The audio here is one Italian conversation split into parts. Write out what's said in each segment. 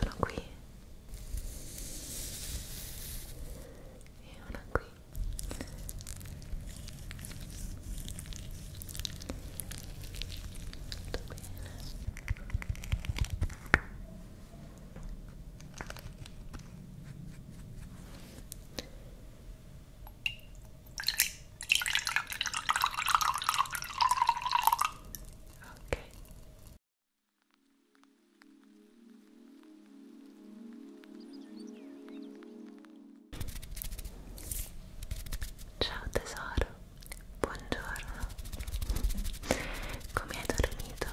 sono qui e una qui tutto bene ok Ciao tesoro, buongiorno. Come hai dormito?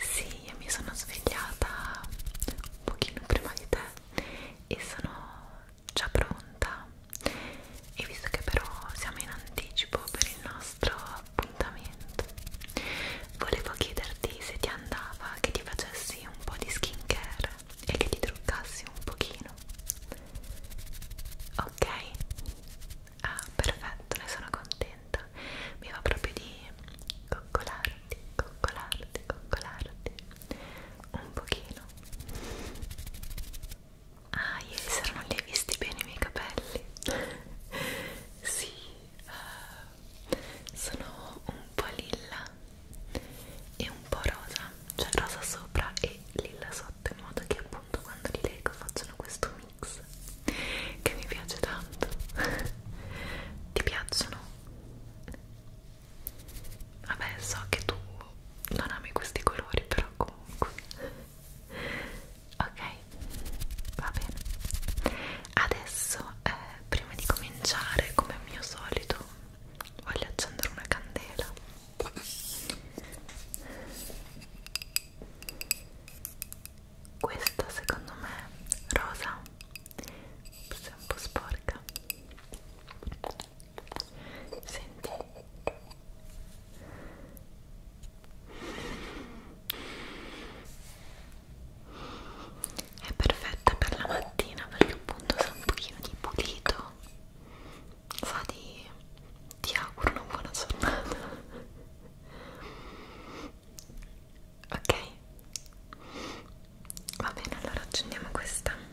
Sì, io mi sono svegliata un pochino prima di te e sono già pronta e visto che però siamo in anticipo per il nostro appuntamento volevo chiederti se ti andava che ti facessi un po' di skincare e che ti truccassi un pochino ok? ah perfetto ne sono contenta mi va proprio di coccolarti coccolarti coccolarti un pochino ah ieri sera non li hai visti bene i miei capelli sì uh, sono un po' lilla e un po' rosa cioè rosa sopra e lilla sotto in modo che appunto quando li leggo facciano questo mix che mi piace tanto ti piacciono? Vabbè, so che tu non ami questi colori, però comunque. Ok, va bene. Adesso, eh, prima di cominciare, come al mio solito, voglio accendere una candela. Questa secondo me rosa, se è un po' sporca, senti è perfetta per la mattina perché appunto sa un pochino di pulito sa di ti auguro una buona giornata ok va bene allora accendiamo questa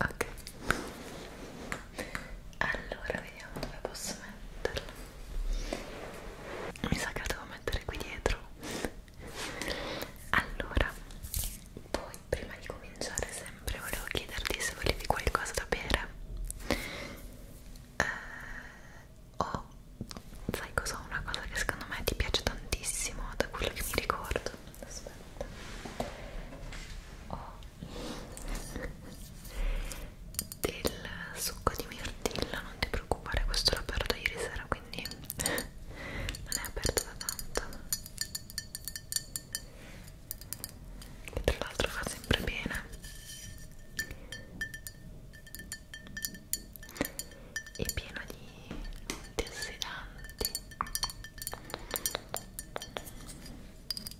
Ok, allora vediamo dove posso metterla mi sa che la devo mettere qui dietro allora poi prima di cominciare sempre volevo chiederti se volevi qualcosa da bere eh, o oh, sai cos'ho una cosa che secondo me ti piace tantissimo da quello che mi ricordo aspetta ho oh del succo di mirtillo non ti preoccupare questo l'ho aperto ieri sera quindi non è aperto da tanto che tra l'altro fa sempre bene è pieno di antiossidanti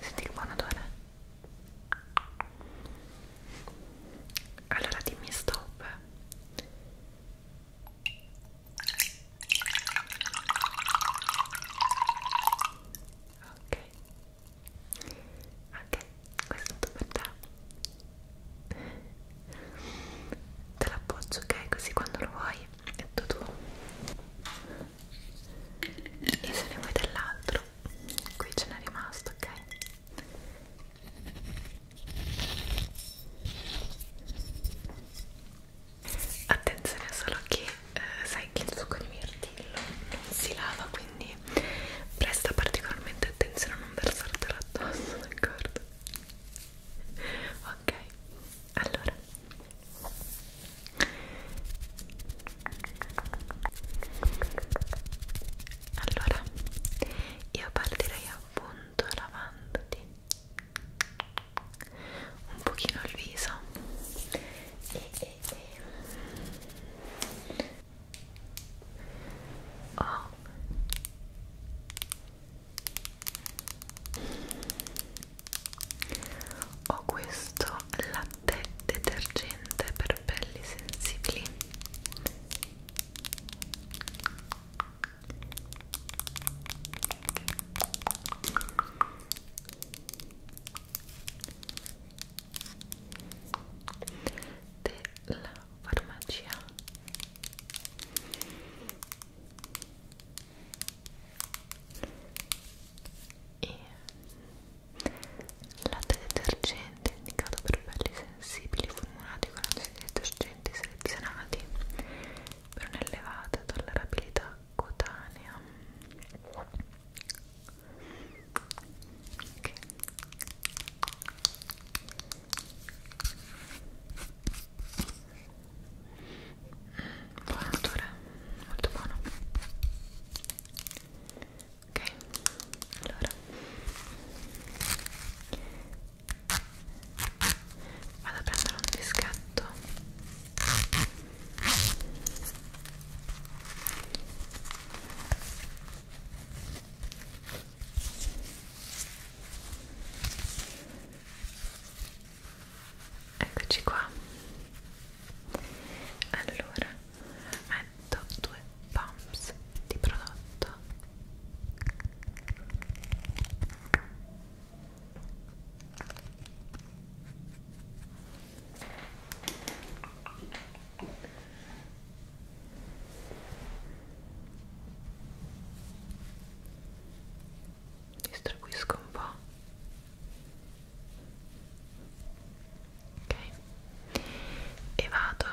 Senti che buon odore Allora dimmi stop Ok Ok, questo è tutto per te te l'appoggio ok così quando lo vuoi è tutto tuo e se ne vuoi dell'altro qui ce n'è rimasto ok attenzione solo che eh, sai che il succo di mirtillo non si lava quindi presta particolarmente attenzione a non versartelo addosso d'accordo ok allora allora io partirei appunto lavandoti un pochino il viso e, e, e. ho oh ho questo latte detergente per pelli sensibili della farmacia e latte detergente indicato per pelli sensibili formulati con antidetergenti selezionati per un'elevata tollerabilità cotanea okay buon odore, molto buono ok, allora vado a prendere un dischetto eccoci qua allora metto due pumps di prodotto distribuisco un po' ok e vado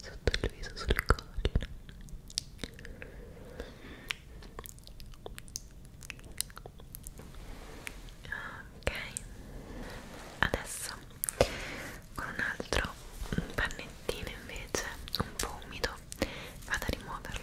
sotto il viso sul collo ok adesso con un altro pannettino invece un po' umido adesso vado a rimuoverlo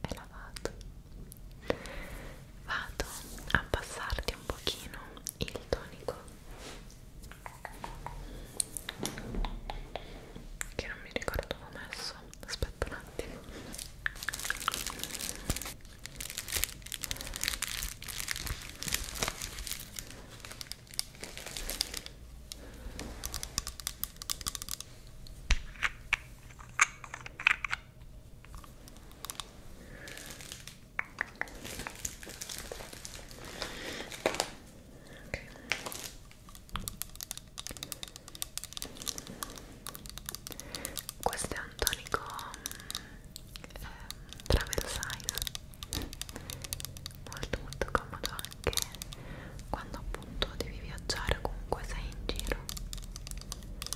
è lavato vado a passarti un pochino il tonico che non mi ricordo dove ho messo aspetta un attimo questo è un tonico eh, travel size molto molto comodo anche quando appunto devi viaggiare o comunque sei in giro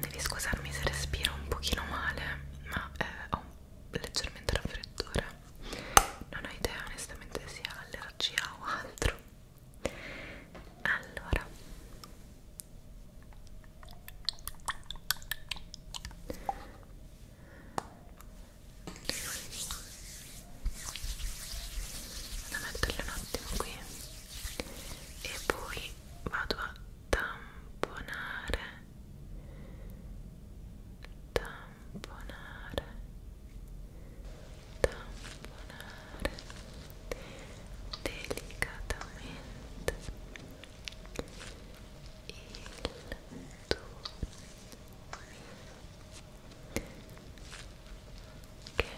Devi scusarmi se respiro un pochino male, ma eh, ho un leggermente raffreddore non ho idea onestamente se sia allergia o altro allora Vado a metterle un attimo qui e poi vado a tamponare tamponare tamponare delicatamente il tuo che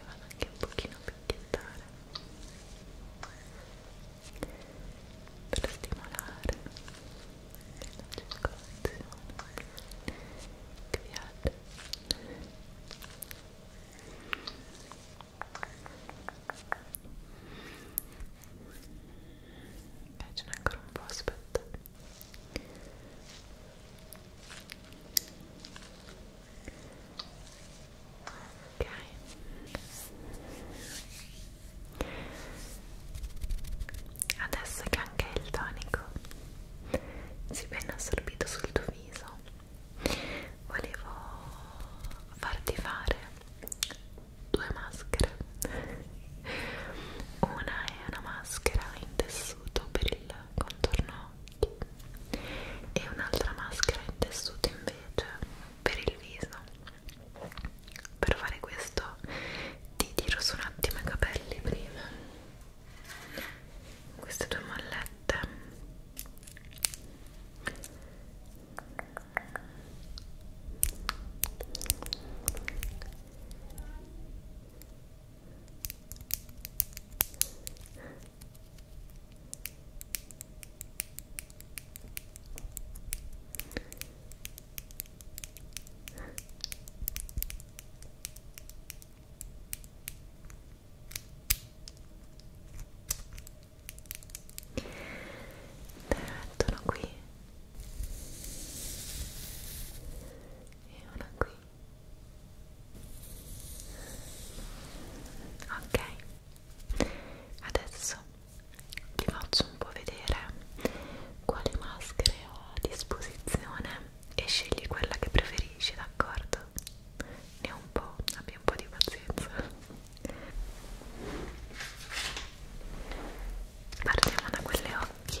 e vado anche un pochino a picchiettare per stimolare la circolazione che vi piace ce n'è ancora un po' aspetta ok ok adesso che anche il tonico si è ben assorbito sul tuo viso volevo farti fare due maschere una è una maschera in tessuto per il contorno occhi e un'altra maschera in tessuto invece per il viso per fare questo ti tiro su un attimo i capelli prima queste due mollette Te la mettono qui e una qui ok adesso vi faccio un po' vedere quali maschere ho a disposizione e scegli quella che preferisci d'accordo? ne ho un po', abbi un po' di pazienza partiamo da quelle occhi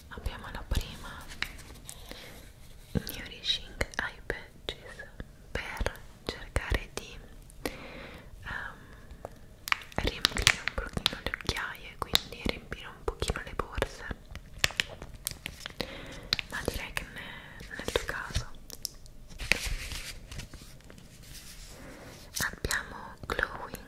abbiamo la prima Nourishing Eye Patches per cercare di um, riempire un pochino le occhiaie quindi riempire un pochino le borse ma direi che ne, nel tuo caso abbiamo Glowing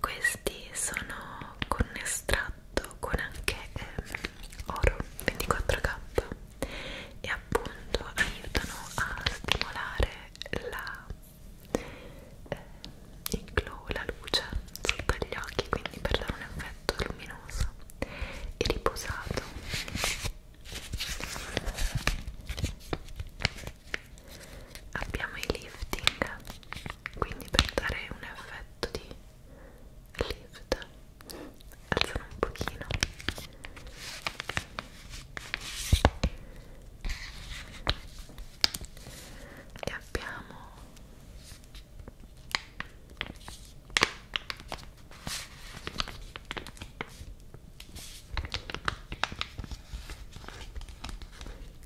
questi sono con un estratto con anche eh, oro 24K e appunto aiutano a stimolare la, eh, il glow, la luce sotto gli occhi, quindi per dare un effetto perfetto, luminoso e riposato abbiamo i lifting quindi per dare un effetto di lift alzano un pochino e abbiamo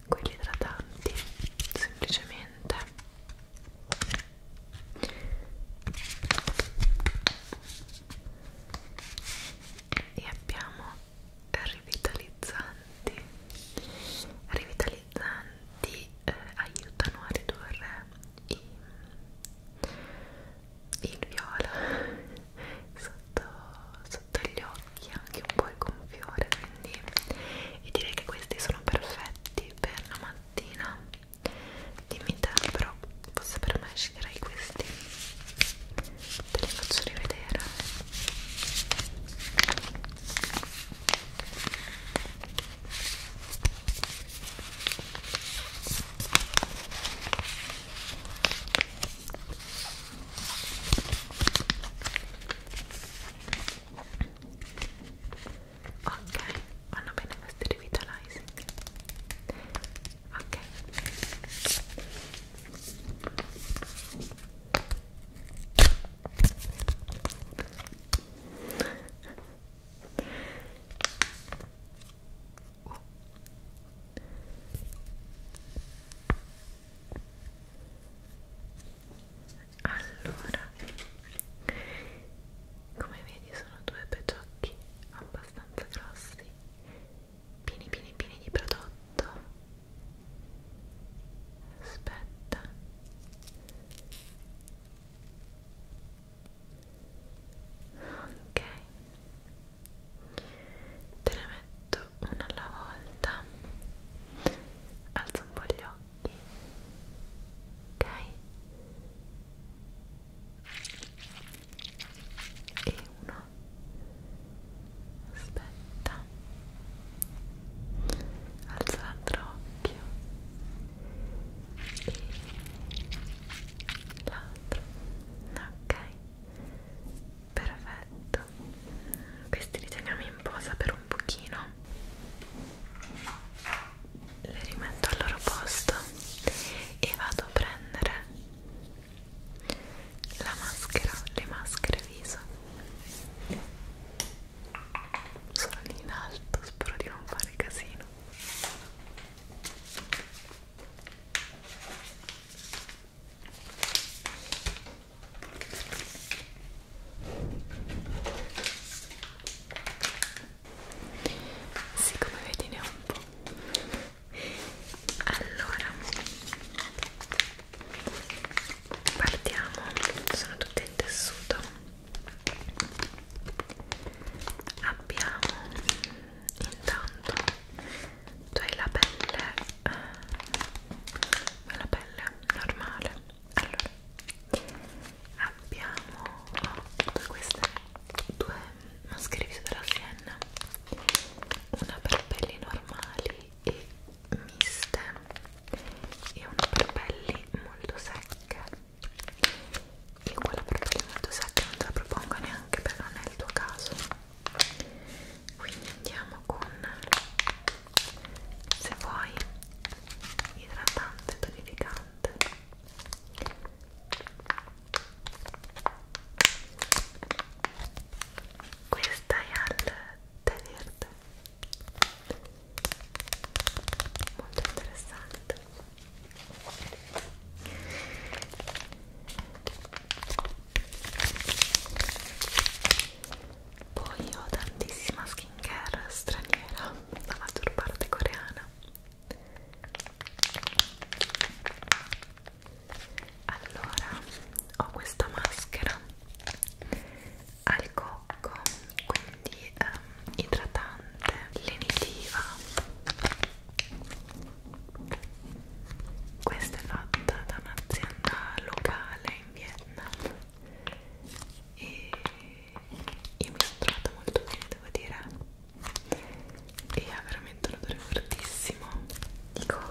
quelli idratanti semplicemente e abbiamo rivitalizzanti rivitalizzanti energizzanti eh, aiutano a ridurre i, il viola sotto, sotto gli occhi anche un po' il gonfiore quindi e direi che questi sono perfetti per la mattina dimmi te però forse per me sceglierei questi te li faccio rivedere Ok, vanno bene questi revitalizing. Ok. Uh. Allora, come vedi sono due peciocchi abbastanza grossi, pieni pieni pieni di prodotto. Aspetta ok te ne metto una alla volta alzo un po' gli occhi ok e uno aspetta alzo l'altro occhio l'altro ok perfetto questi li teniamo in posa per un pochino le rimetto al loro posto e vado a prendere la maschera le maschere viso sono lì in alto, spero di non fare casino sì, come vedi ne ho un po' allora partiamo sono tutte in tessuto abbiamo intanto tu cioè hai la pelle eh, la pelle normale allora abbiamo oh, queste due maschere viso della Sienna una per pelli normali e miste e una per pelli molto secche ok io quella per pelle molto secca non te la propongo neanche perché non è il tuo caso quindi andiamo con se vuoi idratante tonificante questa è al tè verde molto interessante poi ho tantissima skincare straniera la maggior parte coreana allora ho questa maschera al cocco quindi um, idratante lenitiva questa è fatta da un'azienda locale in Vietnam e io mi sono trovata molto bene devo dire e ha veramente un odore fortissimo di cocco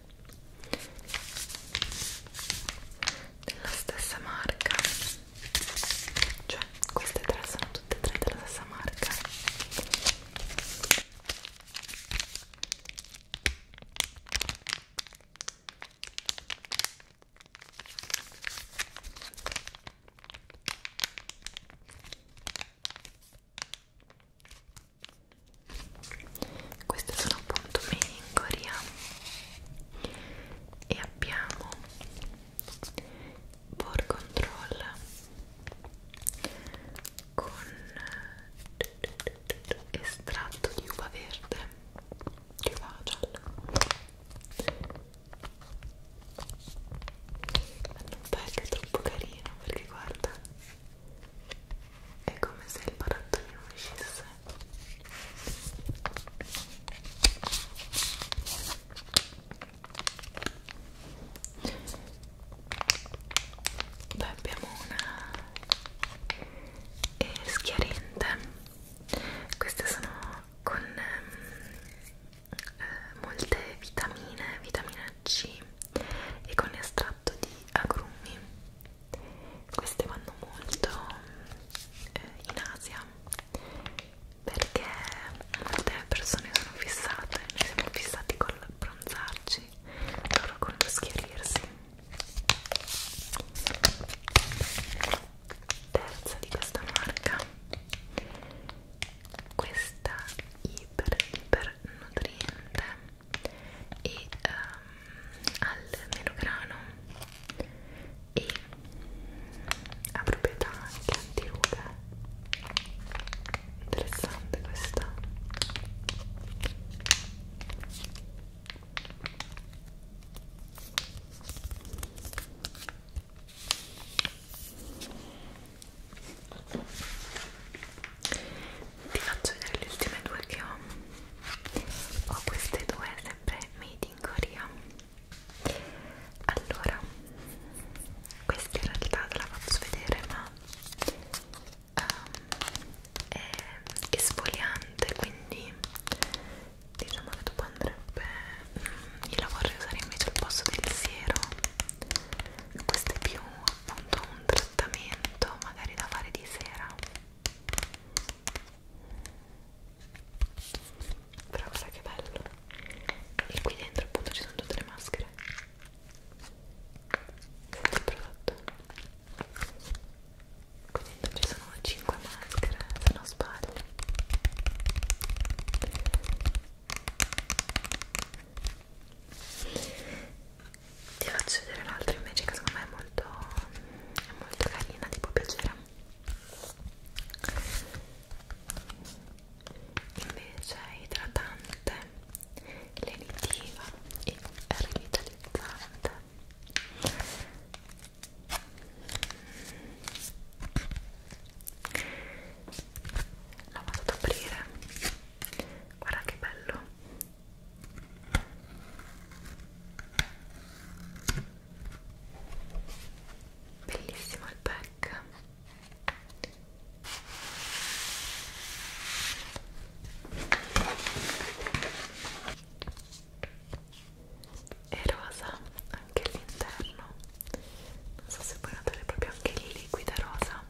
della stessa marca cioè queste tre sono tutte e tre della stessa marca queste sono appunto made in Korea e abbiamo board control con estratto di uva verde di uva gialla non è troppo carino perché guarda è come se il barattolino uscisse poi abbiamo una eh, schiarente queste sono con ehm, eh, molte vitamine vitamina C e con estratto piatto di agrumi queste vanno molto eh, in Asia perché molte persone sono fissate noi siamo fissati col bronzarci loro con lo schiarirsi terza di questa marca questa iper iper nutriente e um, al melograno e ha proprietà anche antiruga interessante questa vi faccio vedere le ultime due che ho ho queste due sempre made in Korea allora questa in realtà te la faccio vedere ma um, è esfoliante quindi diciamo che dopo andrebbe mm, io la vorrei usare invece al posto del siero questa è più appunto un appuntamento magari da fare di sera però guarda che bello e qui dentro appunto ci sono tutte le maschere il prodotto qui dentro ci sono 5 maschere se non sbaglio ti faccio vedere l'altra invece che secondo me è molto, è molto carina, ti può piacere invece è idratante lenitiva e rivitalizzante la vado ad aprire guarda che bello bellissimo il pack e rosa anche l'interno non so se puoi notare proprio anche il liquido rosa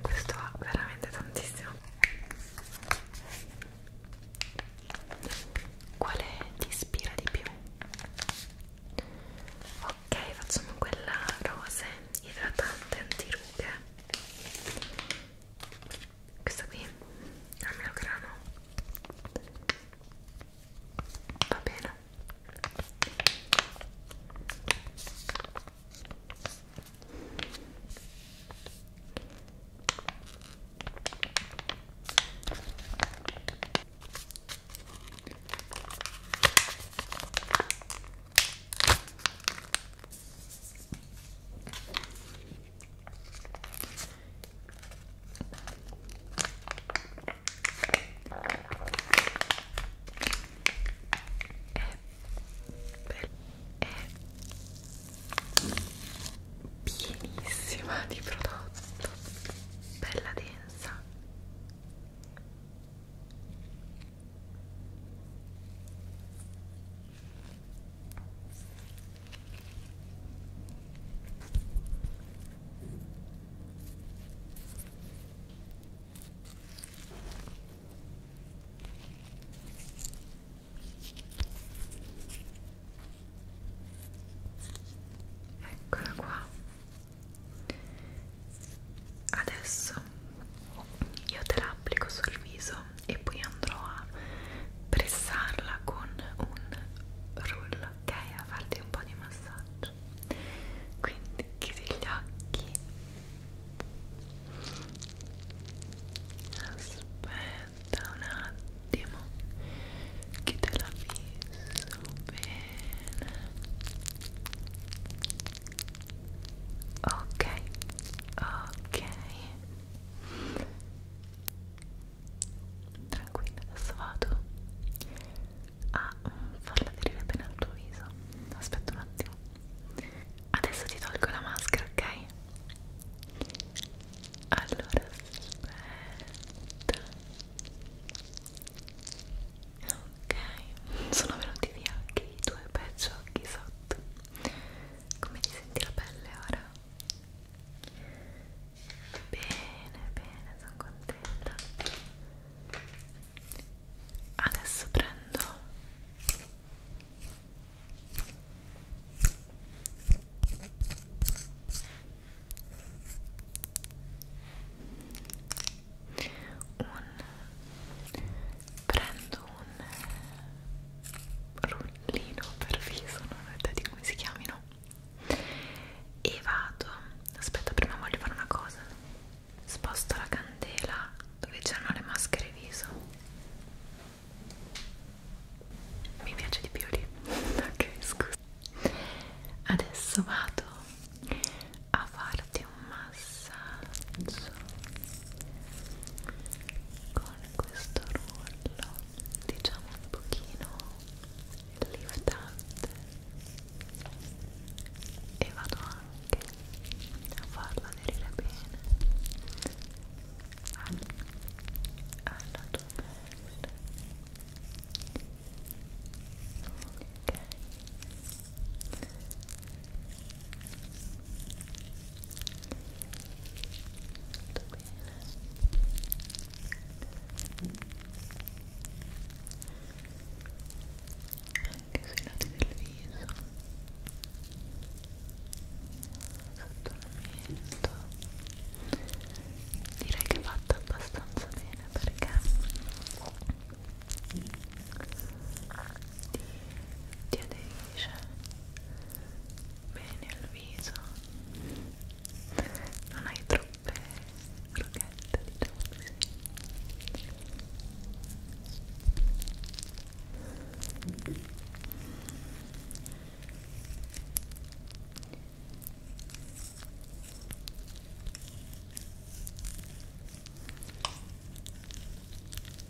questo ha veramente tantissimo quale ti ispira di più? ok facciamo quella rose idratante antirughe questa qui al mio grano va bene è pienissima di prodotto bella densa Eccola qua. Adesso io te la applico sul viso e poi andrò a pressarla con un rullo, ok? A farti un po' di massaggio. Quindi chiudi gli occhi. Aspetta un attimo che te la fisso bene. Ok, ok tranquilla adesso vado a mm, farla venire bene al tuo viso aspetta un attimo adesso ti tolgo la maschera ok allora aspetta ok sono venuti via anche i tuoi pezzi occhi sotto come ti senti la pelle ora Bene, bene, sono contenta. Adesso prendo un prendo un lino per viso, non ho idea di come si chiamino e vado, aspetta prima voglio fare una cosa sposto la candela dove c'erano le maschere viso mi piace di più lì ok scusa adesso vado a farti un massaggio con questo rullo diciamo un pochino liftante e vado anche a farla aderire bene alla, alla tua pelle ok anche sui lati del viso sotto il mento direi che è fatta abbastanza bene perché ti, ti adegui pulisce bene il viso non hai troppe crochette diciamo così ok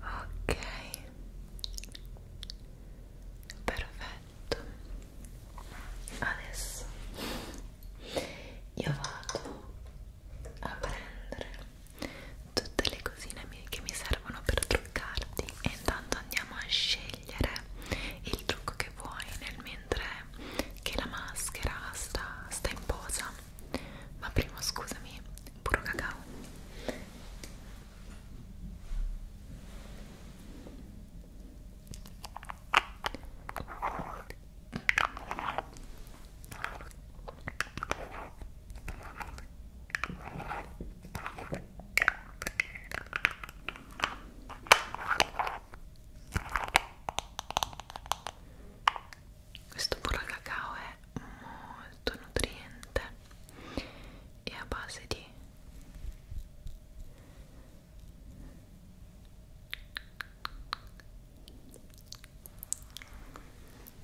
ok perfetto adesso io vado a prendere tutte le cosine che mi servono per truccarti e intanto andiamo a scegliere il trucco che vuoi nel mentre che la maschera sta, sta in posa ma prima scusami puro cacao questo burro cacao è molto nutriente e a base di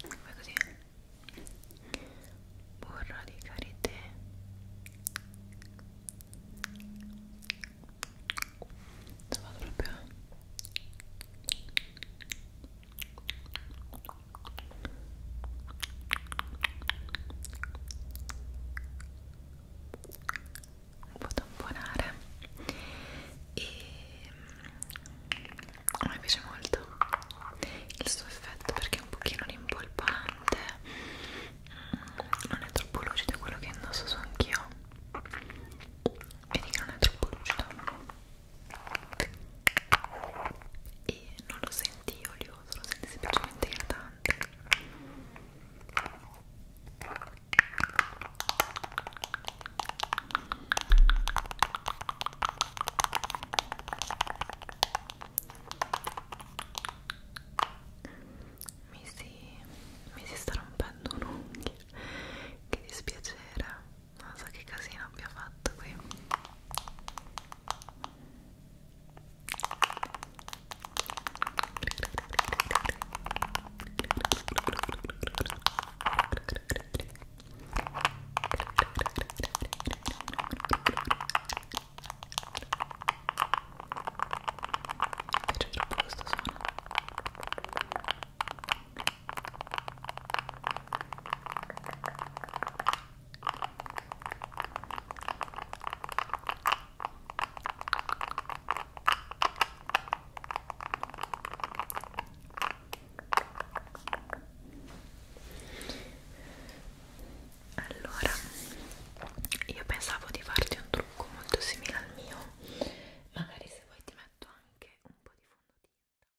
come così burro di karité Stava proprio un po' tamponare e mm, a me piace molto il suo effetto perché è un pochino rimpolpante mm, non è troppo lucido quello che indosso so anch'io vedi che non è troppo lucido e non lo sentivo olioso, lo senti semplicemente idratante mi si, mi si sta rompendo un'unghia che dispiacere non so che casino abbia fatto qui mi piace troppo questo suono allora, io pensavo di farti un trucco molto simile al mio, magari se vuoi ti metto anche un po' di fondotinta.